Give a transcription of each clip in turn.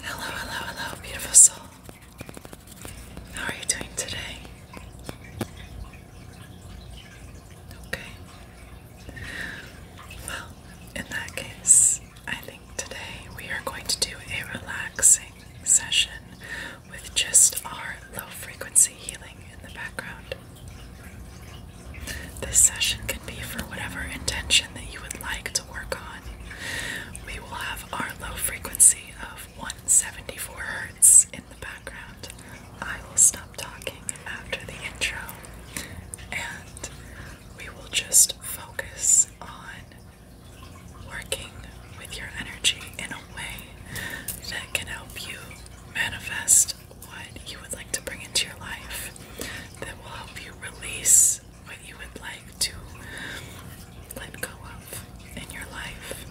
Hello, hello, hello, beautiful soul. How are you doing today? Okay. Well, in that case, I think today we are going to do a relaxing session with just our low frequency healing in the background. This session can be for whatever intention that you would like to work on. We will have our low frequency of 174 hertz Hz in the background. I will stop talking after the intro and we will just focus on working with your energy in a way that can help you manifest what you would like to bring into your life, that will help you release what you would like to let go of in your life,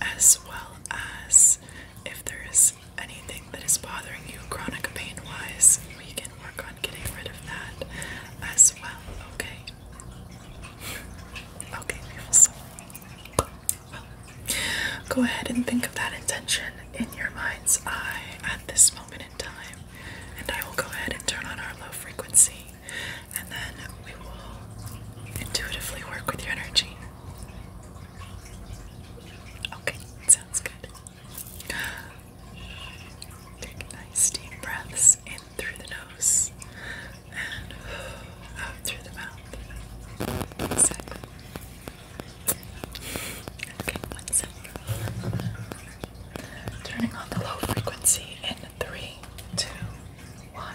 as well as if there is anything that is bothering you chronic pain wise, we can work on getting rid of that as well, okay? Okay, so go ahead and think of that intention in your mind's eye at this moment in time, and I will go ahead and turn on our low frequency, and then we will intuitively work with your energy. Okay, sounds good. Take nice deep breaths in through the nose and out through the mouth. Okay, one Turning on the low frequency in three, two, one.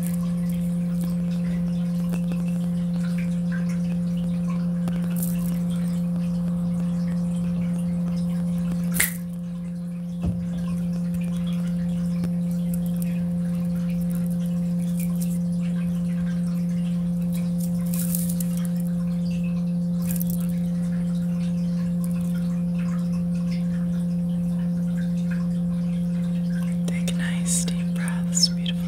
Take nice deep breaths, you're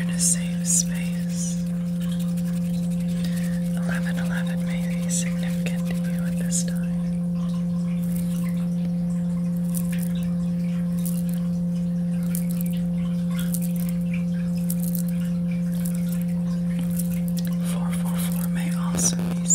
in a safe space. 1111 may be significant to you at this time. Four four four may also be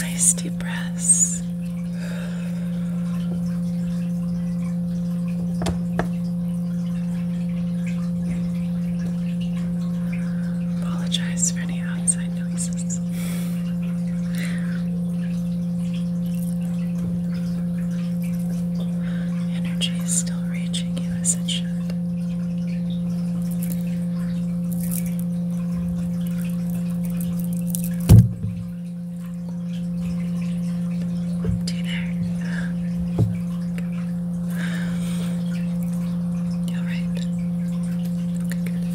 Nice deep breaths. Apologize for any outside noises. Energy is still reaching you as it should. Dinner. You're right. Okay, good.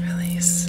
Release.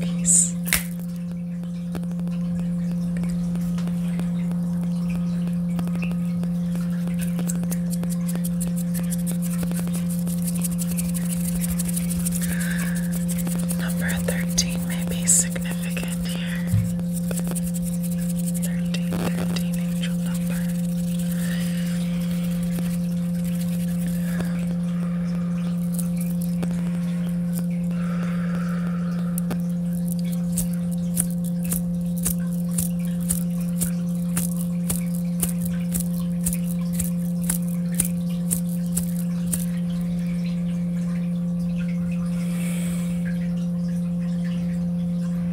Peace. Number 13 may be significant here. Thirteen, thirteen, angel number. Thirteen,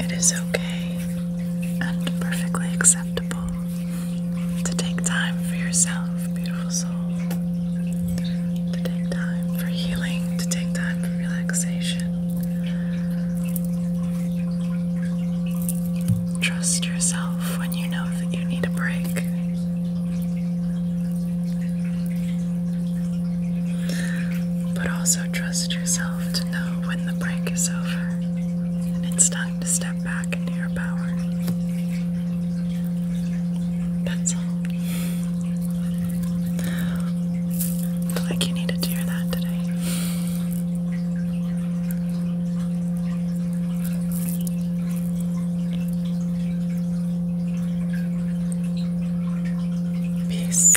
It is okay and perfectly acceptable to take time for yourself, beautiful soul, to take time for healing, to take time for relaxation. Trust yourself when you know that you need a break. But also trust yourself to know when the break is over and it's done to step back into your power. That's all. Like you needed to hear that today. Peace.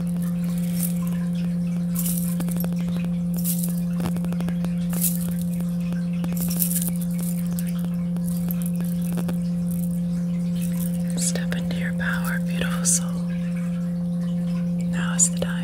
Step into your power, beautiful soul. Now is the time.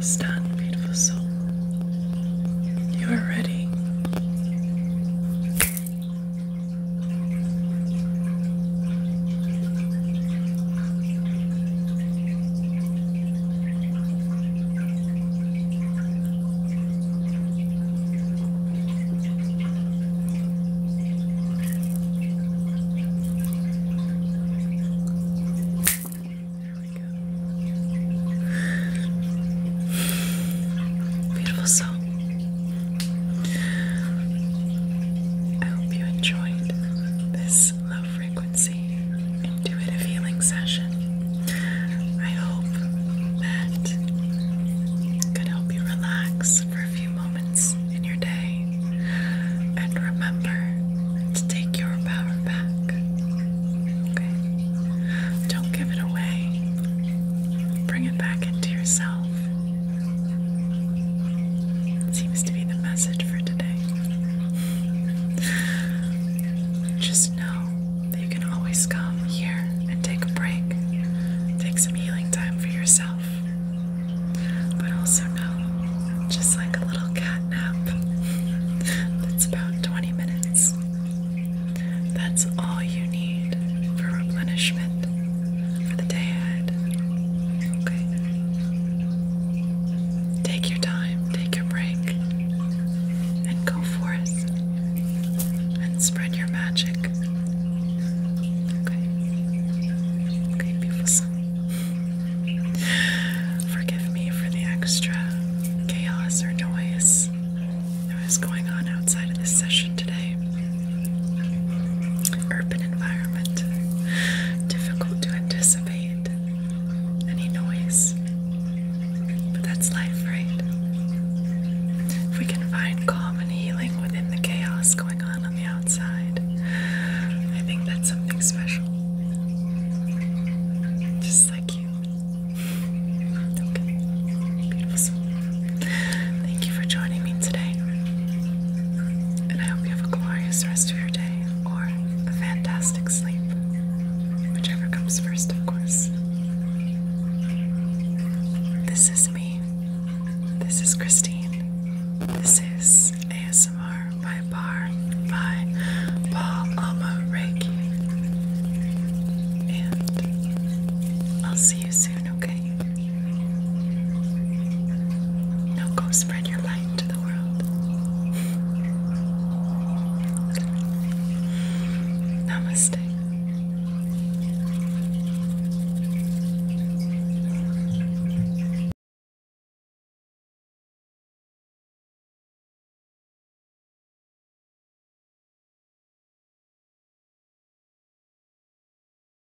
Stand, beautiful soul. You are ready. Beautiful soul. I hope you enjoyed this low frequency intuitive healing session. I hope that it could help you relax for a few moments in your day and remember to take your power back. Okay? Don't give it away. Bring it back into yourself. Seems to be the message for today. Just know that you can always come here and take a break, take some healing time for yourself. But also know, just like a little cat nap, that's about 20 minutes. That's all you need for replenishment for the day Okay? Take your time, take your break, and go forth and spread your magic. Okay? Okay, beautiful. Forgive me for the extra chaos or noise that was going on outside of this session today urban environment. Difficult to anticipate any noise. But that's life, right? If we can find calm and healing within the chaos going on on the outside, I think that's something special. Just like you. Okay. Beautiful. Thank you for joining me today. And I hope you have a glorious rest of your day or a fantastic sleep, whichever comes first, of course. This is me. This is Christine. This is ASMR by Bar by Paul Alma Reiki. And I'll see you soon, okay? Now go spread your light to the world. Namaste.